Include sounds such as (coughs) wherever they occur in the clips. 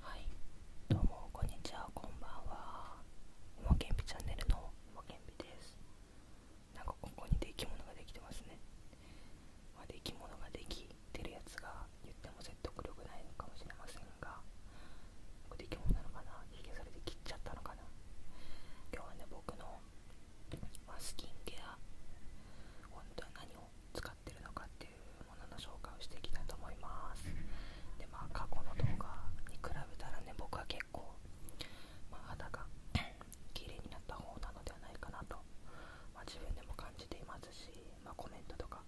はいどうもこんにちはこんばんはうまけんぴチャンネルのうまけんぴですなんかここにできものができてますねまできものができてるやつが言っても説得力ないのかもしれませんができものなのかなひげそれで切っちゃったのかな今日はね僕の、まスキンケア本当は何を使ってか使ってるのかっていうものの紹介をしていきたいと思いますでまあ過去の動画に比べたらね僕は結構、肌が (coughs) 綺麗になった方なのではないかなと、ま自分でも感じていますし、まコメントとか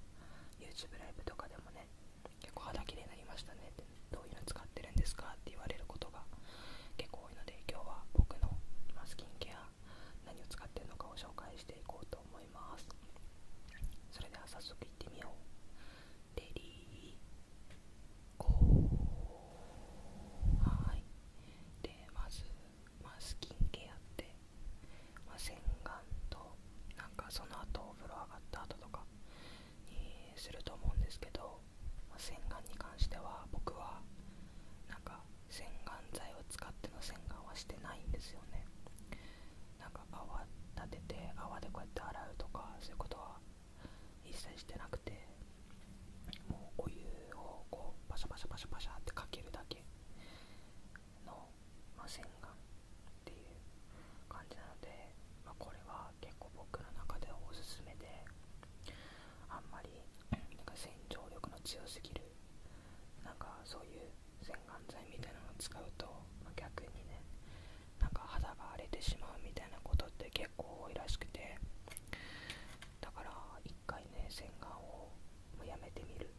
YouTube ライブとかでもね結構肌綺麗になりましたねってどういうの使ってるんですかって言われることが結構多いので今日は僕のスキンケア何を使ってるのかを紹介していこうと思いますそれでは早速いってみようレリーゴーはいでまず、まスキンケアって、ま洗顔となんかその後お風呂上がった後とかにすると思うんですけど、ま洗顔に関しては僕はなんか洗顔剤を使っての洗顔はしてないんですよねなんか泡立てて泡でこうやって洗うとかそういうことは一切してなくてもうお湯をこうパシャパシャパシャパシャってかけるだけの、まあ、洗顔っていう感じなので、まこれは結構僕の中でおすすめであんまりなんか洗浄力の強すぎるなんかそういう洗顔剤みたいなのを使うと、ま逆にねなんか肌が荒れてしまうみたいなことって結構多いらしくてだから1回ね洗顔をもうやめてみる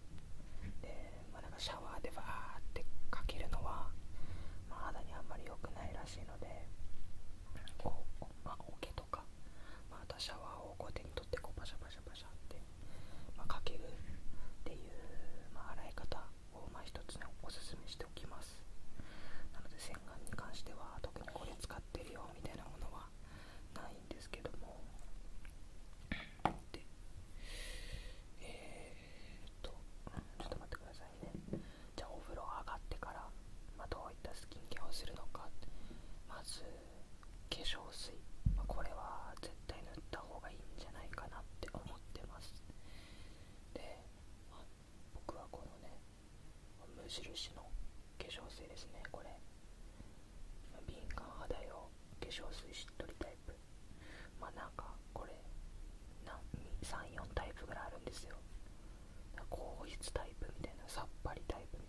で、まなんかシャワーでバーってかけるのは、まあ、肌にあんまり良くないらしいのでおお,、とかまたシャワーを手に取ってこうパシャパシャパシャって、まかけるっていう、ま洗い方をまあ一つねおすすめしておきますなので洗顔に関しては特にこれ使ってるよみたいなものはないんですけどもでえー、っとちょっと待ってくださいねじゃあお風呂上がってから、まどういったスキンケアをするのかまず化粧水、まこれは絶対塗った方がいいんじゃないかなって思ってますで、僕はこのね無印の化粧水ですねこれ敏感肌用化粧水しっとりタイプまあなんかこれ34タイプぐらいあるんですよ硬質タイプみたいなさっぱりタイプ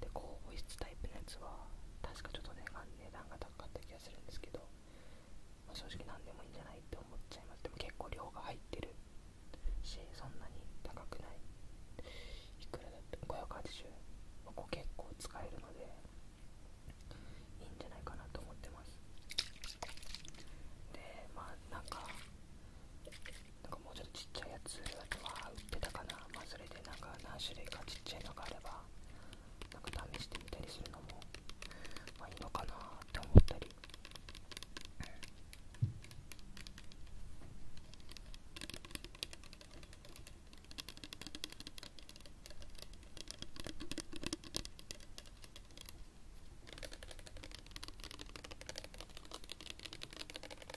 で高保湿タイプのやつは確かちょっと値段が高かった気がするんですけど、正直何でもいいんじゃないって思っちゃいますでも結構量が入ってるしそんなに高くないいくらだって580ここ結構使えるのでいいんじゃないかなと思ってますでまあなんかなんかもうちょっとちっちゃいやつあとは売ってたかなまあそれでなんか何種類かちっちゃいのがあればなんか試してみたりするのもまあいいのかなって思ったり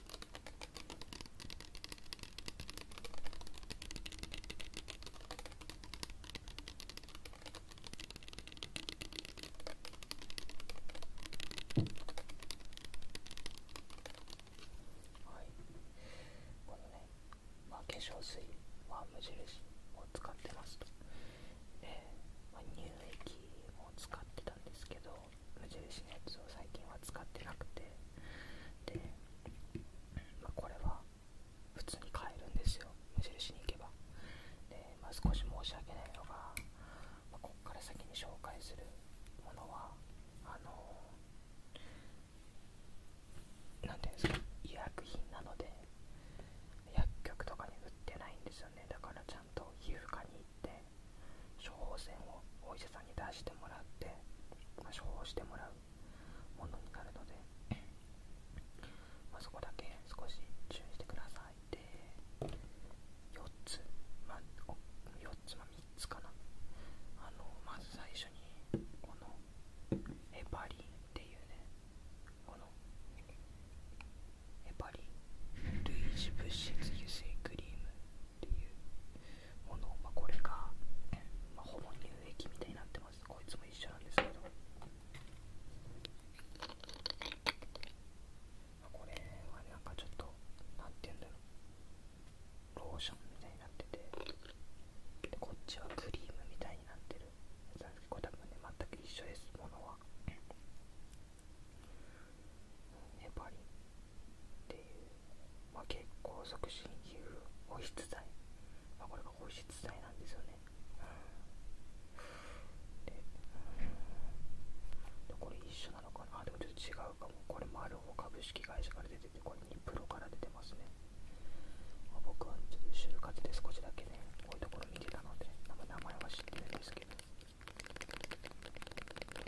はいこのね、化粧水は無印を使ってますと、乳液も使ってたんですけど無印のやつを最近は使ってなくてで、まこれは普通に買えるんですよ無印に行けばで、ま少し申し訳ないのが、まこっから先に紹介するものはあの何ていうんですか医薬品なので薬局とかに売ってないんですよねだからちゃんと皮膚科に行って処方箋をお医者さんに出してもらって、ま処方してもらうものになるのでまそこだけ少し注意してくださいで4つま4つまあ3つかなあのまず最初にこのエパリンっていうねこのエパリン類似物質油性クリームっていうものまあ、これが、まあ、ほぼ乳液みたいになってますこいつも一緒なんですけど、まあ、これはなんかちょっとなんていうんだろうローションみたいになっててでこっちはクリームみたいになってるなんこれ多分ね全く一緒ですものはやっぱりっていう、まあ、血行促進皮膚保湿剤、まあ、これが保湿剤なんですよね、で、うん、これ一緒なのかなあでもちょっと違うかもこれマルホ株式会社から出ててこれニプロから出てますね、まあ、僕はちょっと就活で少しだけねこういうところ見てたので名前は知ってるんですけど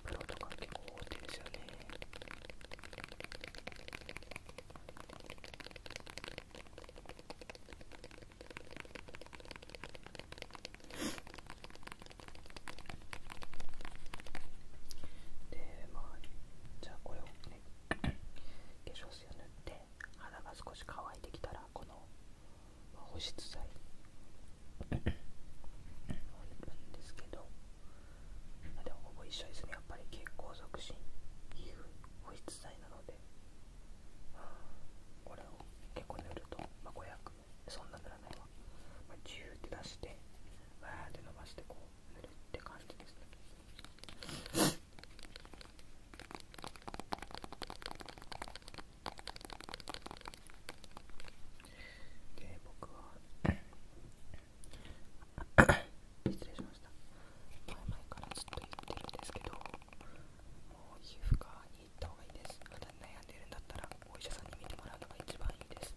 プロとか結構多いですよねでまあじゃあこれをね化粧水を塗って肌が少し乾いてきたらこの保湿剤んですけどでもほぼ一緒ですねやっぱり健康促進皮膚保湿剤なので、うん、これを結構塗ると、ま500そんな塗らないわ、まあ、ジューって出してわーって伸ばしてこう塗るって感じですねで僕は失礼しました前々からずっと言っているんですけどもう皮膚科に行った方がいいですまだ悩んでるんだったらお医者さんに診てもらうのが一番いいです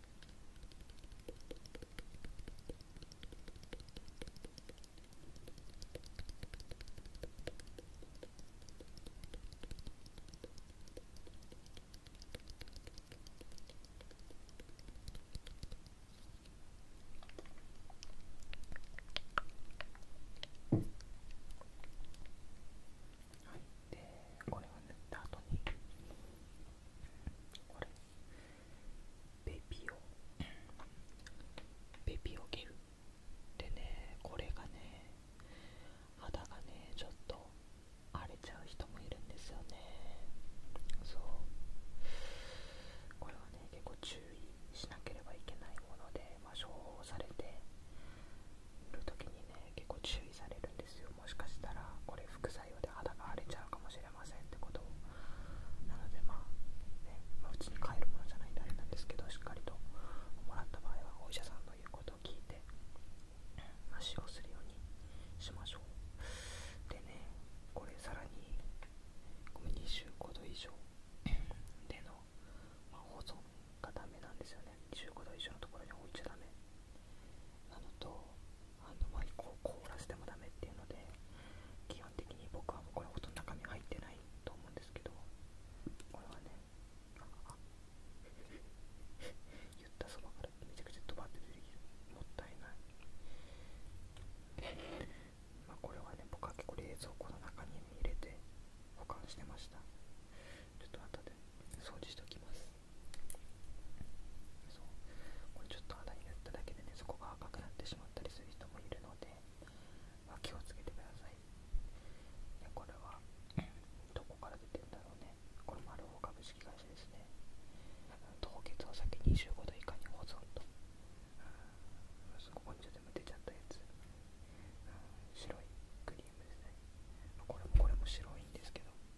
はいでこれを塗った後にこれベビオベビオゲルでねこれがね肌がねちょっと荒れちゃう人もいるんですよねそうこれはね結構注意しなければいけないもので、まあ、処方されている時にね結構注意されるんですよもしかしたらこれ副作用で肌が荒れちゃうかもしれませんってことをなのでまあねまうちに帰るものじゃないんであれなんですけどしっかりともらった場合はお医者さんの言うことを聞いて、足をするようにしましょうでねこれさらに25度以上 (coughs) での、ま保存がダメなんですよね25度以上のところに置いちゃダメなのとあのワイコを凍らせてもダメっていうので基本的に僕はこれほとんど中身入ってないと思うんですけどこれはねあ (laughs) 言ったそばからめちゃくちゃドバって出てきるもったいない (laughs) まあこれはね僕は結構冷蔵庫の中に入れて保管してましたちょっと後で掃除しておきますこれちょっと肌に塗っただけでねそこが赤くなってしまったりする人もいるので、ま気をつけてくださいでこれはどこから出てるんだろうねこれもマルフォ株式会社ですね凍結お先25度以下に保存とそこにちょっと出ちゃったやつ白いクリームですねこれもこれも白いんですけど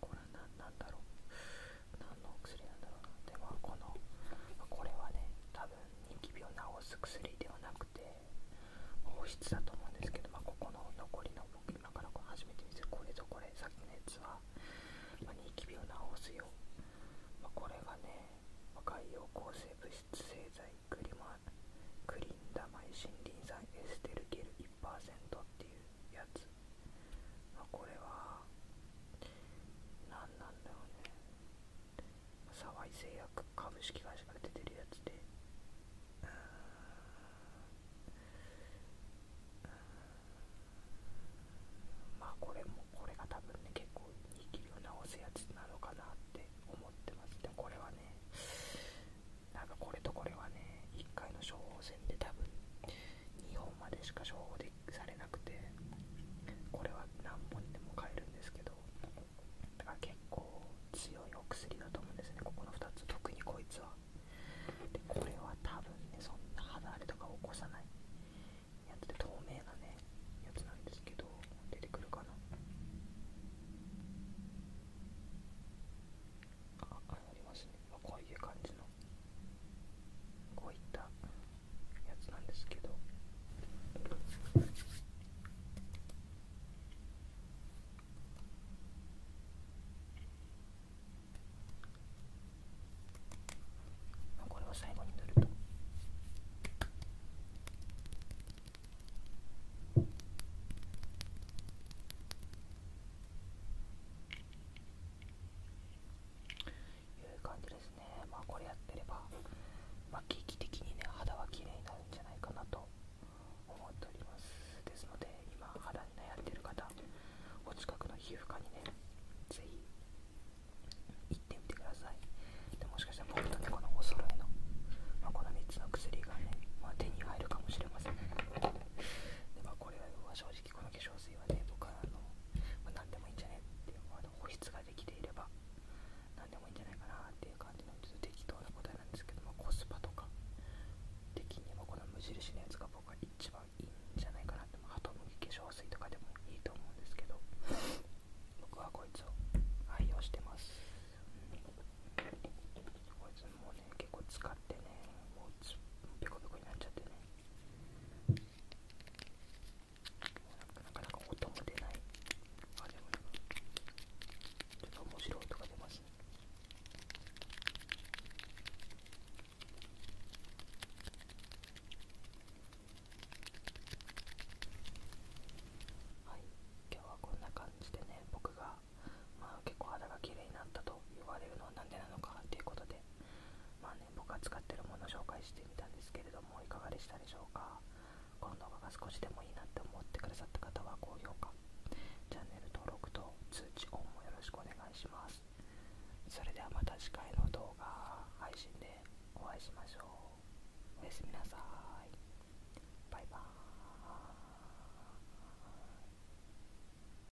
これは何なんだろう何の薬なんだろうなでもこのこれはね多分人気病を治す薬ではなくて保湿だと思うんですけど、まここの残りの僕今からこ初めて見せるこれぞこれさっきのやつは、まあ、ニキを治すよ、まこれがね海洋抗生物質製剤クリマクリンダマイ森林酸エステルゲル1%っていうやつますこれは何なんだろうね沢井製薬株式会社が出てるやつでうんうんまあこれもこれが多分ね結構握りを直すやつなのかなって思ってますでもこれはねなんかこれとこれはね1回の処方箋で多分2までしか処方でされなくてこれは何本でも買えるんですけどだから結構強いお薬だと思うんですねここの2つ特にこいつはこれは多分ねそんな肌荒れとか起こさないやつで透明なねやつなんですけど出てくるかなあありますね、こういう感じのこういったやつなんですけどこれは最後に塗ると。こいう感じですねまこれやってれば、まあ、劇的にね肌は綺麗になるんじゃないかなと思っておりますですので今肌に悩んでる方お近くの皮膚科にねぜひ行ってみてくださいでもしかしたら僕とねこのお揃いの、まこの3つの薬がね、ま手に入るかもしれません、でまこれは正直この化粧水はね僕はあの、ま何でもいいんじゃねっていうあの保湿ができていれば何でもいいんじゃないかなっていう感じのちょっと適当な答えなんですけどもコスパとか的にもこの無印のやつが僕は一番いいんじゃないかなってハトムギ化粧水とかでもいいと思うんですけど僕はこいつを愛用してます、うん、こいつもうね結構使ってねもうペコペコになっちゃってねなかなか音も出ないあでもちょっと面白い音が出ますねはい今日はこんな感じでね僕がまあ結構肌が綺麗になったと言われるのはなんでなのかっていうことでまあね、僕が使ってるものを紹介してみたんですけれどもいかがでしたでしょうかこの動画が少しでもいいなって思ってくださった方は高評価チャンネル登録と通知音もよろしくお願いしますそれではまた次回の動画配信でお会いしましょうおやすみなさいバイバーイ